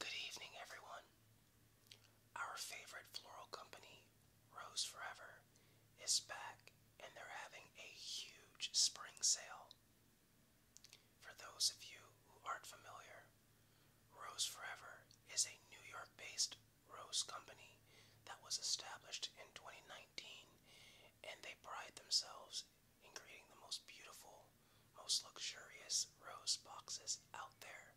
Good evening, everyone. Our favorite floral company, Rose Forever, is back and they're having a huge spring sale. For those of you who aren't familiar, Rose Forever is a New York based rose company that was established in 2019 and they pride themselves and creating the most beautiful, most luxurious rose boxes out there.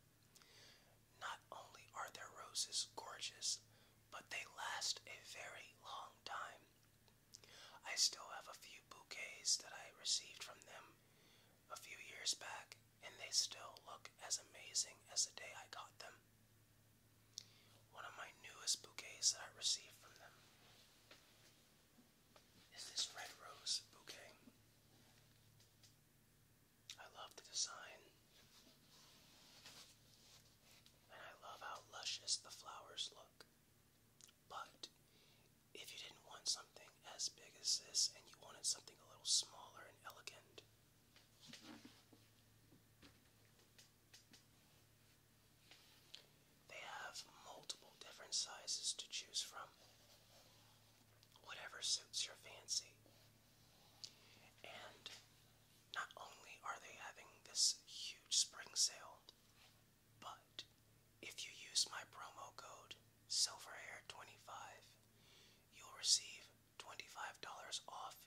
Not only are their roses gorgeous, but they last a very long time. I still have a few bouquets that I received from them a few years back, and they still look as amazing as the day I got them. One of my newest bouquets I received from them this red rose bouquet. I love the design, and I love how luscious the flowers look. But if you didn't want something as big as this and you wanted something a little smaller and elegant, they have multiple different sizes to choose from, whatever suits your fancy. And not only are they having this huge spring sale, but if you use my promo code SilverHair25, you'll receive $25 off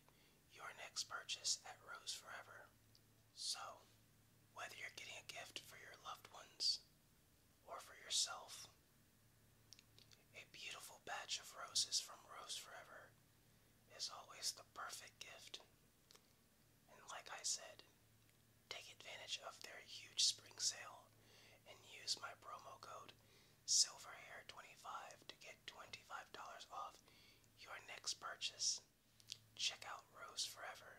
your next purchase at Rose Forever. So, whether you're getting a gift for your loved ones, or for yourself. A beautiful batch of roses from Rose Forever is always the perfect gift. And like I said, take advantage of their huge spring sale and use my promo code SilverHair25 to get $25 off your next purchase. Check out Rose Forever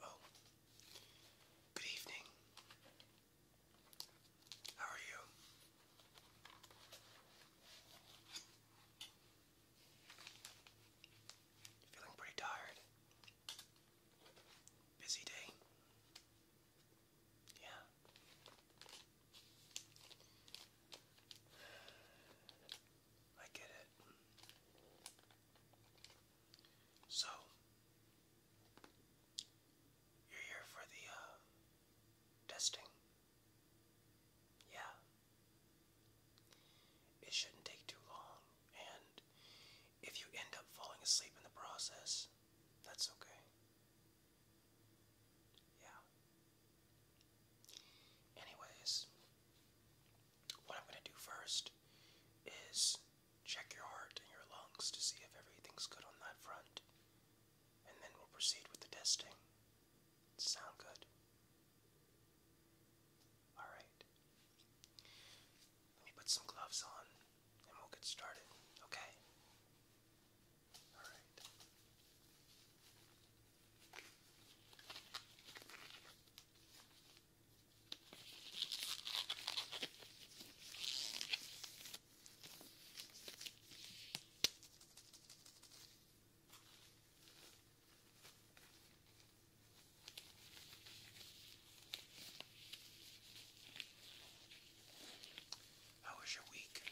Oh, good evening. How are you? Feeling pretty tired. Busy day. Yeah. I get it. So, you're here for the uh, testing. Yeah. It shouldn't take too long, and if you end up falling asleep in the process, that's okay. Yeah. Anyways, what I'm gonna do first is check your heart and your lungs to see if everything's good on that front and then we'll proceed with the testing. Sound good? Alright. Let me put some gloves on and we'll get started, okay? Alright. How was your week?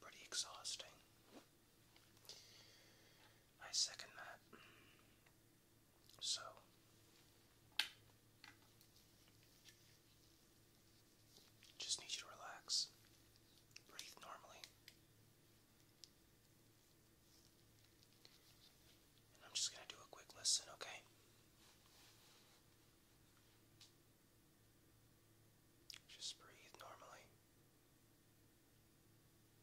Pretty exhausting. I second that. So just need you to relax. Breathe normally. I'm just going to do a quick listen, okay? Just breathe normally.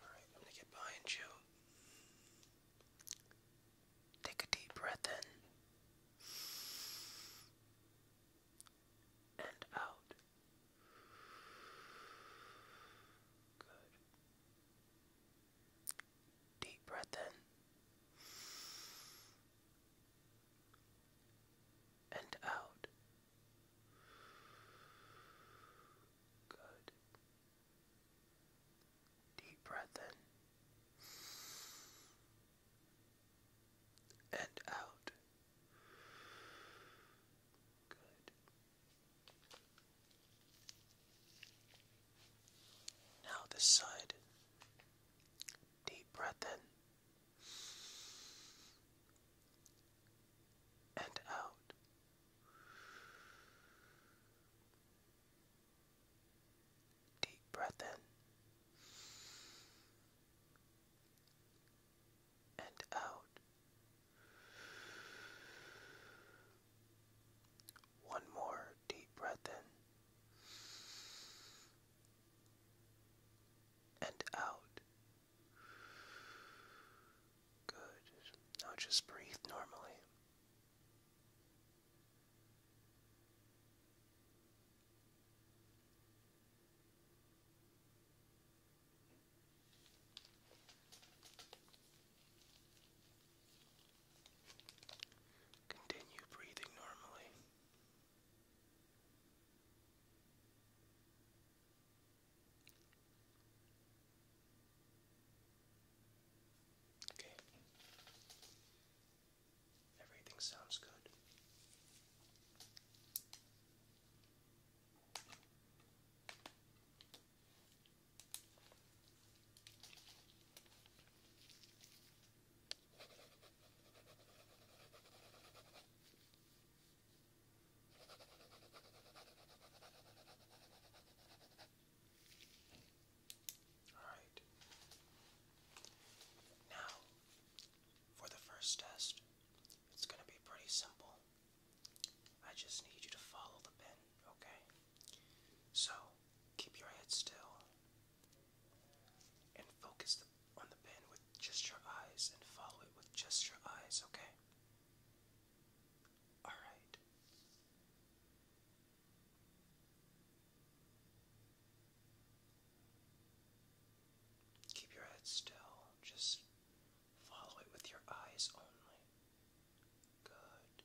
Alright, I'm gonna get behind you. Take a deep breath in. And out. Good. Deep breath in. And out. Good. Deep breath in and out. Good. Now this side. Deep breath in and out. Deep breath in and out. One more deep breath in and out. Good. Now just breathe normally. Continue breathing normally. Okay. Everything sounds good. Alright. Now, for the first test, it's going to be pretty simple. I just need you to follow the pen, okay? So, keep your head still and focus the on the pen with just your eyes and follow it with just your eyes, okay? Alright. Keep your head still. Just follow it with your eyes only. Good.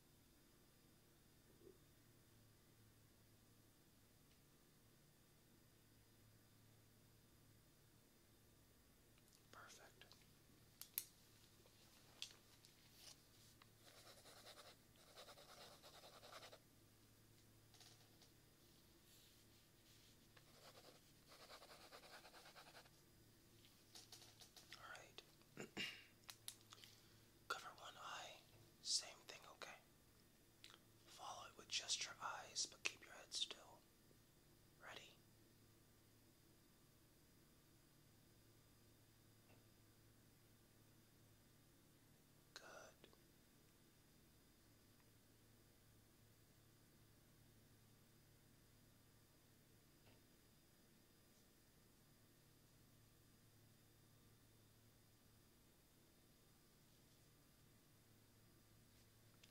Perfect. All right. Cover one eye, same thing, okay? Follow it with just your eyes, but keep your head still. Ready? Good.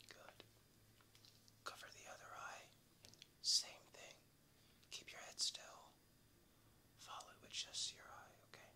Good. Cover the other eye. Same thing. Keep your head still. Follow it with just your eye, okay?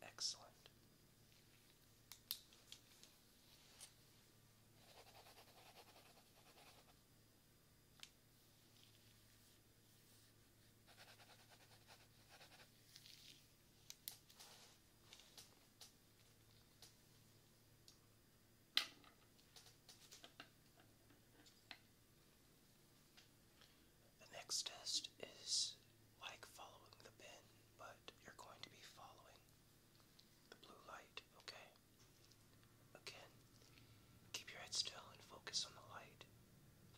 Good. Excellent. The next test is like following the pen, but you're going to be following the blue light, okay? Again, Keep your head still and focus on the light.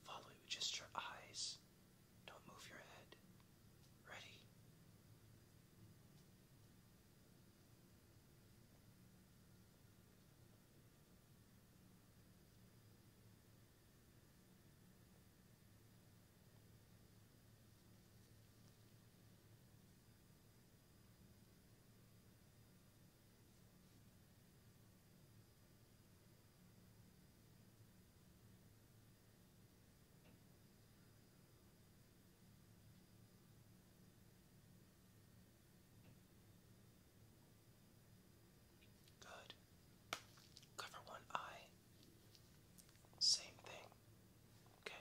Follow it with just your eyes. Don't move your head. Ready? Good. Cover one eye. Same thing. Okay.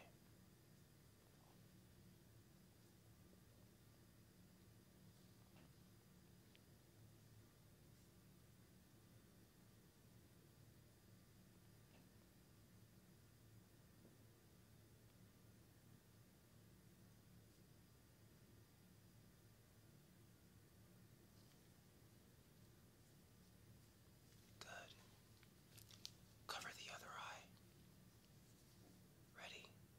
Good. Cover the other eye. Ready?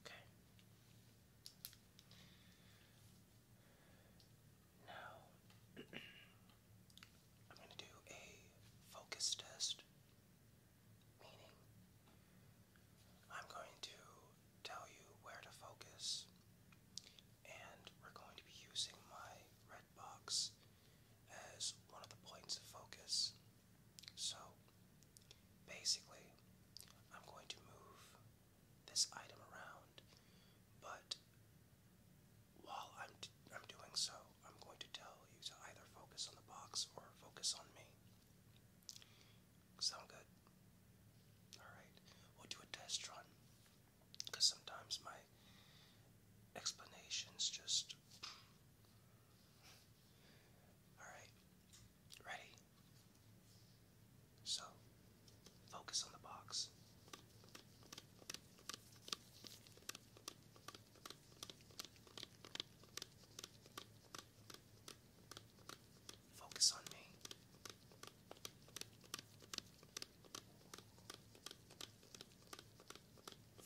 Okay. Now, I'm going to do a focus test, meaning I'm going to tell you where to focus, and we're going to be using my red box as one of the points of focus. So basically, I'm going to move this item around, but while I'm, d I'm doing so, I'm going to tell you to either focus on the box or focus on me. Sound good? Alright, we'll do a test run because sometimes my explanations just. Alright, ready? So, focus on the box. Focus on me.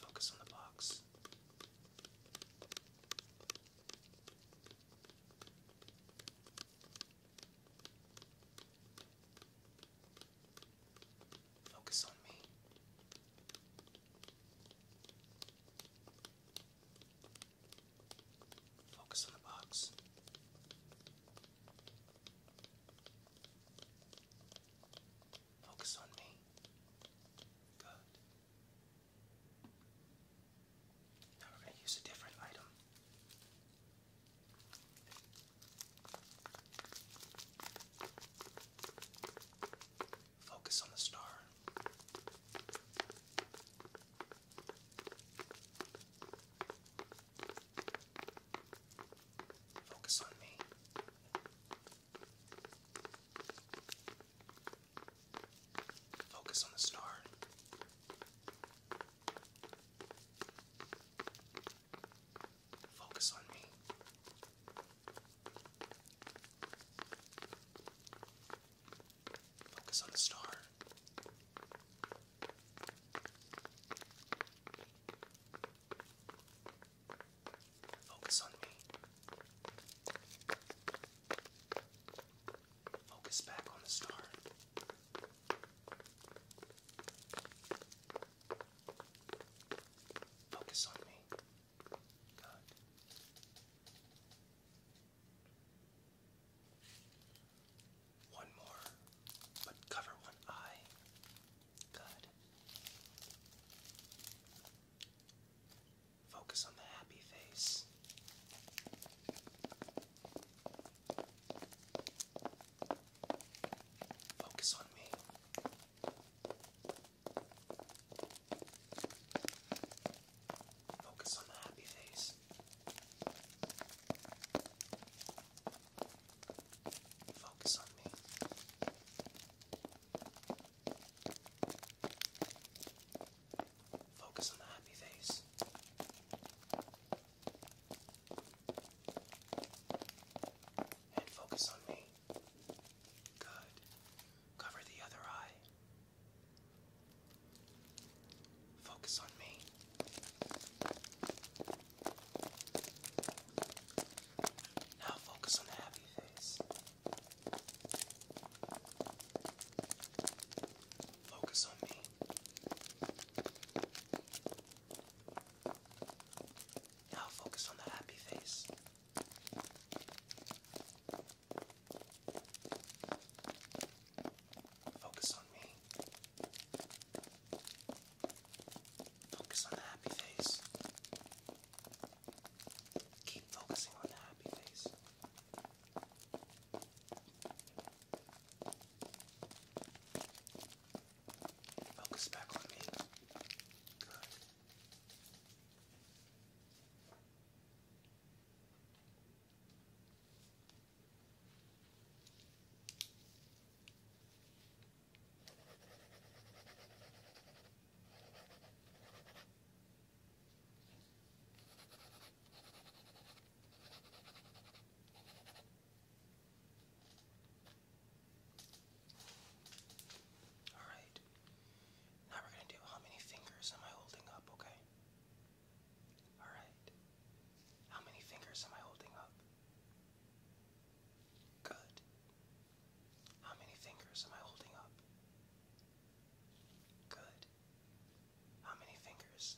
Focus on the box. Focus on me. Focus on the box. Focus on me. Good. Now we're going to use a different item. Focus on the star. Focus on me. Focus on the star. Focus on me. Focus on the star. Focus on me. Focus back on the star. Focus on me. One more, but cover one eye. Good. Focus on the happy face. Focus on me. Focus on the happy face. Focus on me. Focus on the happy face. And focus on me. Good. Cover the other eye. Focus on me. Now focus on the happy face. Focus on me. Now focus on the happy face. Focus on me. Focus on the happy face. Keep focusing on the happy face. Focus back on me. Good. All right. Now we're going to do how many fingers am I holding up, okay? All right. How many fingers am I holding up? Good. How many fingers am I holding up? Good. How many fingers?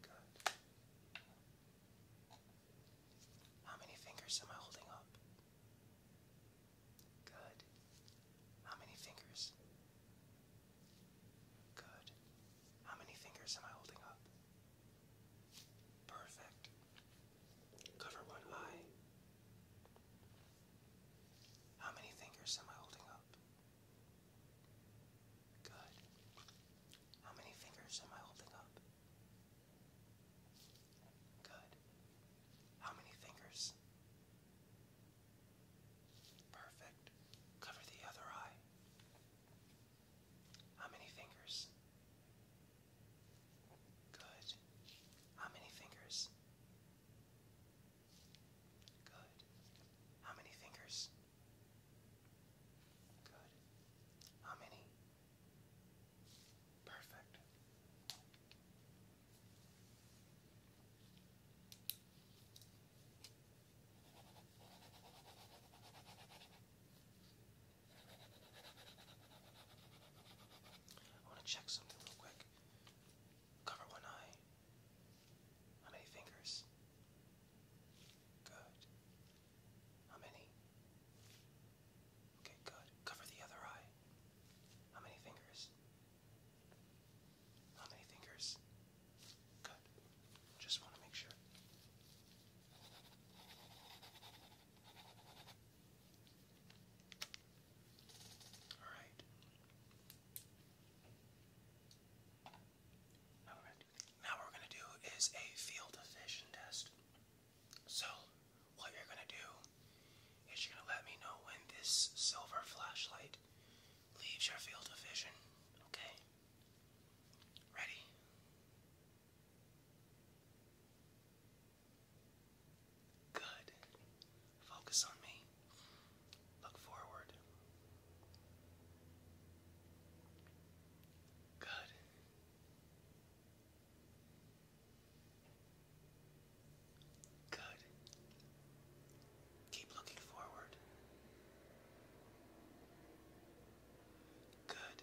Good. How many fingers am I holding up? Good. How many fingers? Good. How many fingers am I holding up? Perfect. Cover one eye. How many fingers am I holding up? Good. How many fingers am I holding up? Good. How many fingers? Perfect. Cover the other eye. How many fingers? Good. How many fingers? Good. How many fingers? Good. How many? Perfect. I want to check something real quick. Cover one eye. How many fingers? Good. How many? Okay, good. Cover the other eye. How many fingers? How many fingers? Good. Just want to make sure. All right. Now, we're gonna do, is a field of vision test. So, what you're going to do is you're going to let me know when this silver flashlight leaves your field of vision. Okay? Ready? Good. Focus on me. Look forward. Good. Good. Keep looking forward. Good.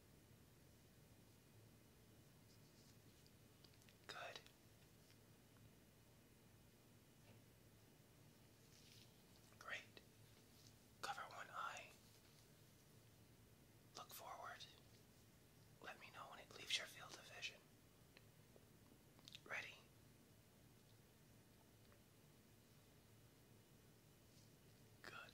Good. Great. Cover one eye. Look forward. Let me know when it leaves your field of vision. Ready? Good.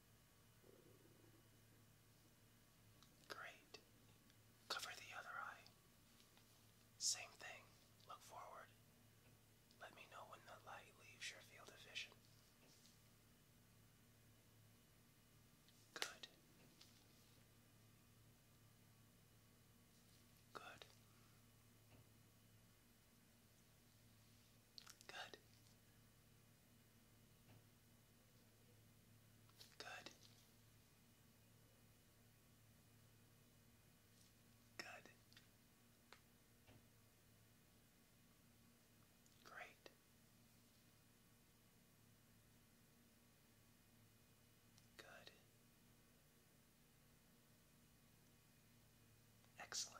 Great. Cover the other eye. Same thing. Look forward. Let me know when the light leaves your field of vision. Good. Good. Good. Good. Good. Great. Good. Excellent.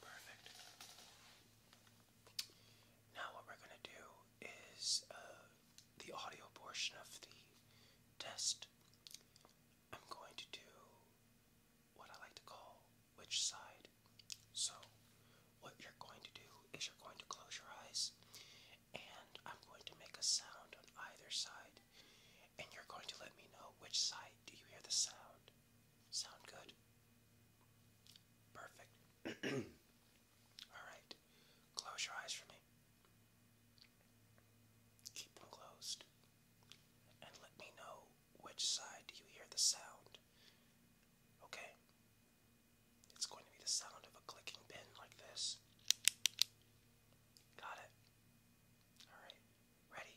Perfect. Now what we're going to do is uh, the audio portion of the test. I'm going to do what I like to call which side. So what you're going to do is you're going to close your eyes and I'm going to make a sound on either side and you're going to let me know which side do you hear the sound. Sound good? Perfect. All right. Close your eyes for me. Keep them closed. And let me know which side do you hear the sound. Okay. It's going to be the sound of a clicking pin like this. Got it. All right. Ready?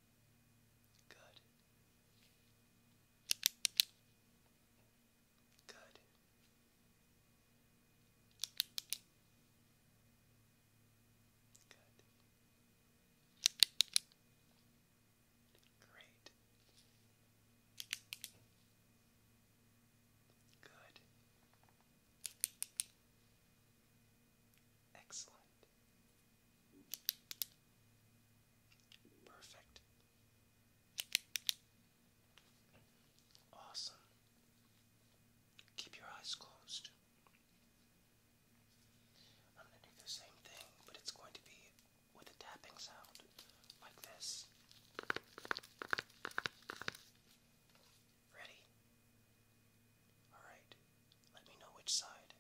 Good. Good. Good. Great. Good. Excellent. Perfect. Awesome. Keep your eyes closed. I'm going to do the same thing, but it's going to be with a tapping sound like this. Ready? Alright, let me know which side.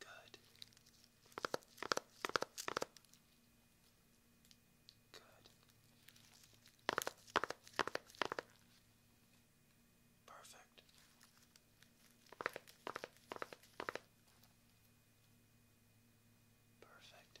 Good. Good. Perfect. Perfect.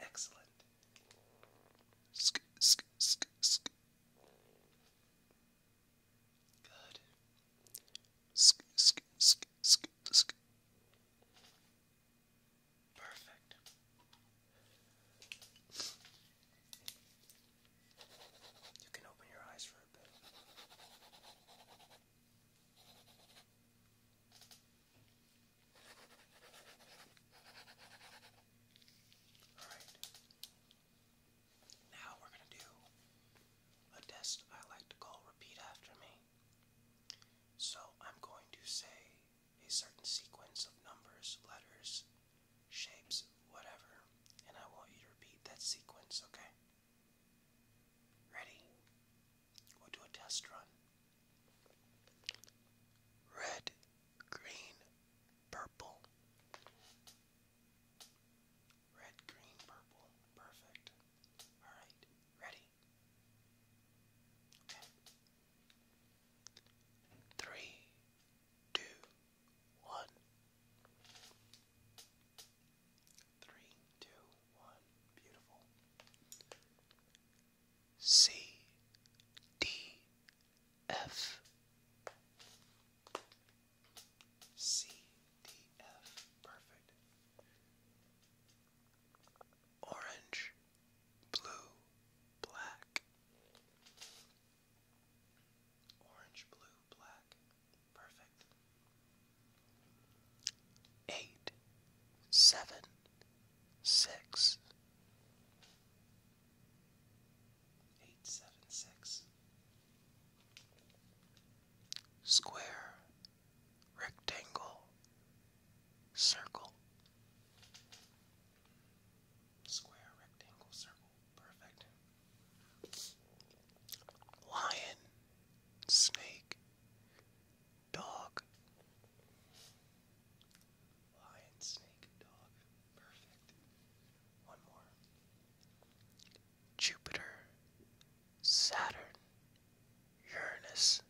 Excellent. Sk, sk, sk, sk. Good. Sk, sk, sk, sk, sk. Perfect. You can open your eyes for a bit. Alright. Now we're going to do a test I like to call repeat after me. So I'm going to say a certain sequence of numbers, letters, shapes, whatever, and I want you to repeat that sequence, okay? Ready? We'll do a test run. Red, green, purple. Red, green, purple. Perfect. Alright, ready? Okay. Three, two, one. Three, two, one. Beautiful. C, D, F. C, D, F. Perfect. Orange, blue, black. Orange, blue, black. Perfect. Eight, seven, six. Eight seven six. Square, rectangle, circle. Square, rectangle, circle. Perfect. Lion, snake, dog. Lion, snake, dog. Perfect. One more. Jupiter, Saturn, Uranus.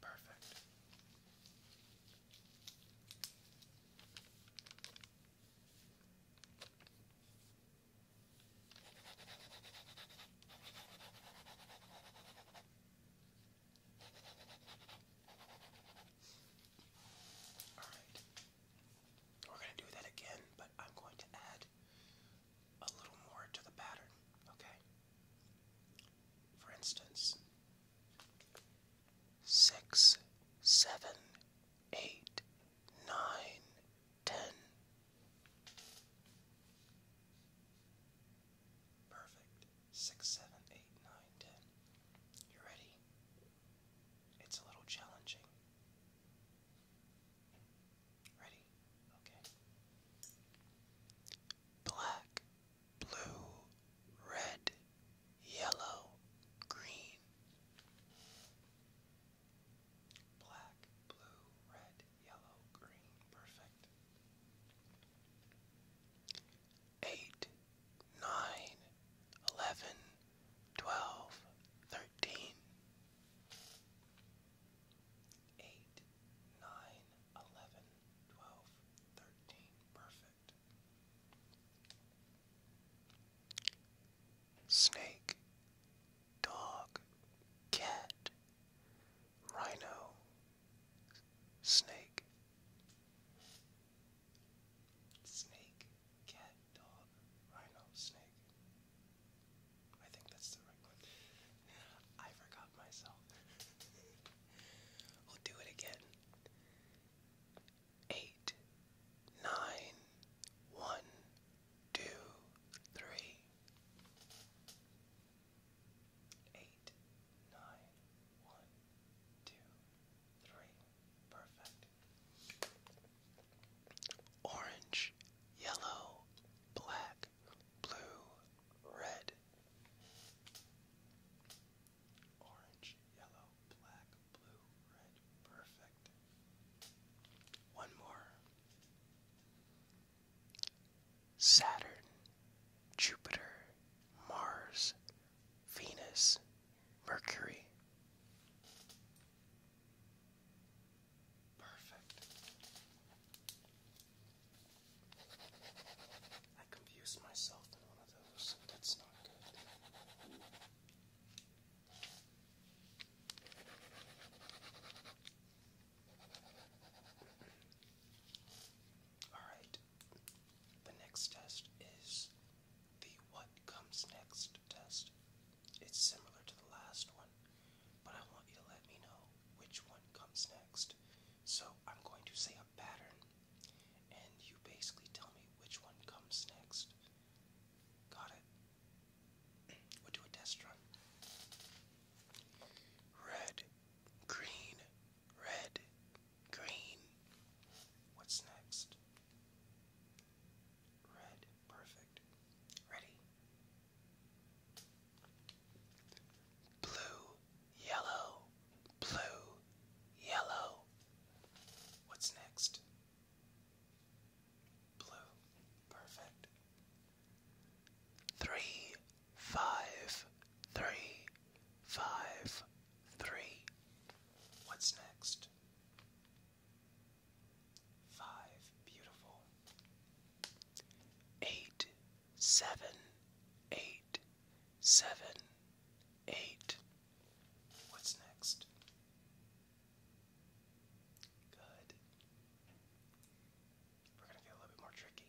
Perfect. Alright. We're going to do that again, but I'm going to add a little more to the pattern, okay? For instance, six, seven, eight, nine, ten. Perfect six, seven, eight, nine, ten. You ready? It's a little challenging. Ready? Okay. Black, blue, red, yellow, green. Black, blue, red, red, yellow, green. Perfect. Eight, nine, eleven, twelve, thirteen. Eight, nine, eleven, twelve, thirteen. Perfect. Snake, dog, cat, rhino, Snake. Snake, cat, dog, rhino, snake. I think that's the right one. I forgot myself. we'll do it again. Eight, nine, one, two, three. Eight, nine, one, two, three. Perfect. Orange, yellow, black, blue, red. Orange, yellow, black, blue, red. Perfect. One more. Saturn, Jupiter, Mars, Venus, Mercury. Perfect. I confused myself in one of those. That's not good. Alright, the next test is the what comes next test. It's similar to the last one, but I want you to let me know which one comes next. So I'm going to say a pattern, and you basically tell me which one comes next. Got it? We'll do a test run. Red, green, red, green. What's next? Red, perfect. Ready? Blue, yellow, blue, yellow. What's next? Blue, perfect three, five, three, five, three. What's next? Five, beautiful. Eight, seven, eight, seven, eight. What's next? Good. We're gonna get a little bit more tricky.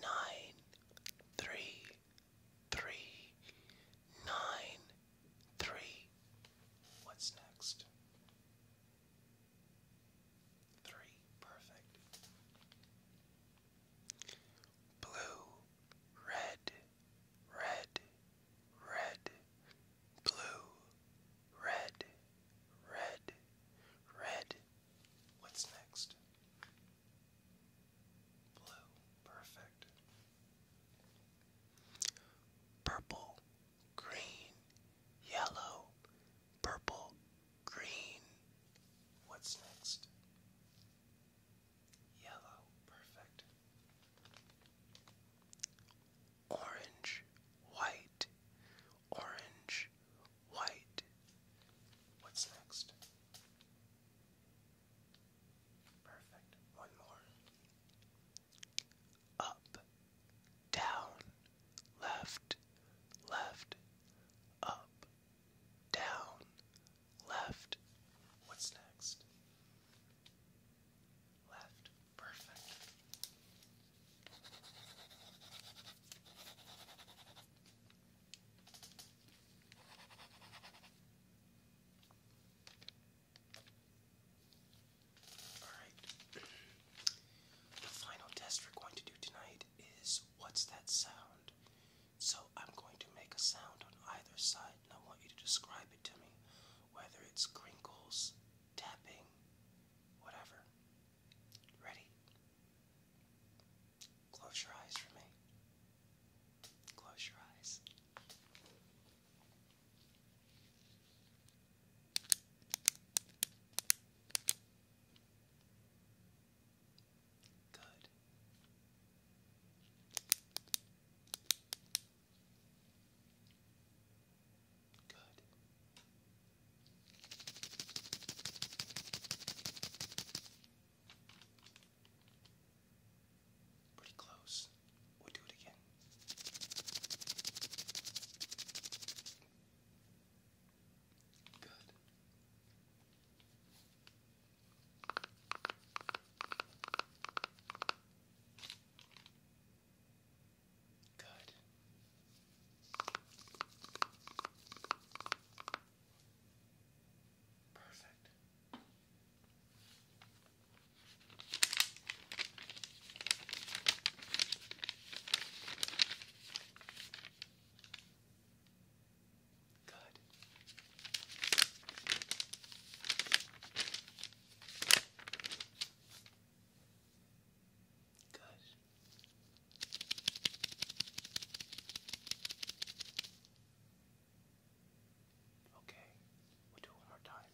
Nine, three, three, nine, three. What's next? Three, perfect. Blue, red, red, red, blue, red, red, red, What's next? Blue, perfect. Purple, green, yellow, purple, green. What's next? Yellow, perfect. Orange, white, orange, white. What's next? Perfect. One more. Up, down, left, left, up, down, left. What's next? Left. Perfect. Alright. The final test we're going to do tonight is what's that sound? So I'm going to make a sound on either side and I want you to describe it to me, whether it's crinkles, tapping, whatever. Ready? Close your eyes for me. Close your eyes. Good. Good. Pretty close. We'll do it again. Good. Good. Perfect. Good. Good. Okay, we'll do it time.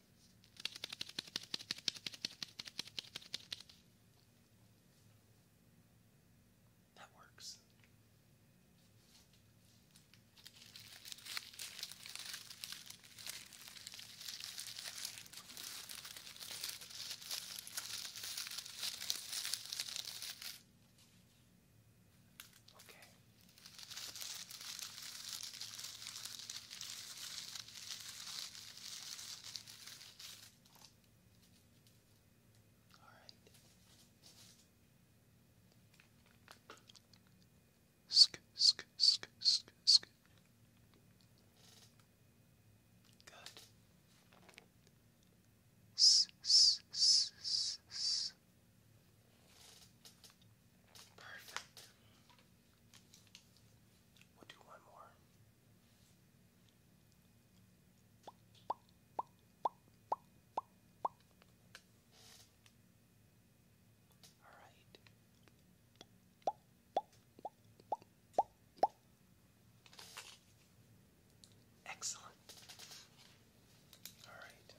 That works. Okay. All right. Sk, sk, sk, sk, sk. Good. S -s -s -s -s. Perfect. We'll do one more. All right. Excellent. All right.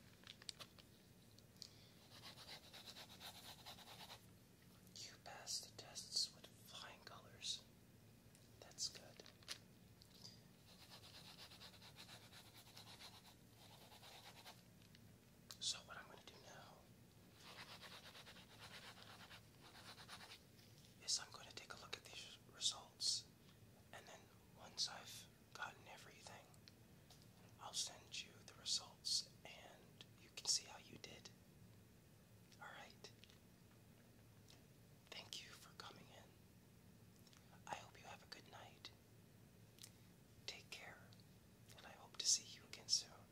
You passed the tests with flying colors. That's good. So, what I'm going to do now is I'm going to take a look at these results, and then once I've gotten everything, I'll send you the results and you can see how you did. Alright? Thank you for coming in. I hope you have a good night. Take care, and I hope to see you again soon.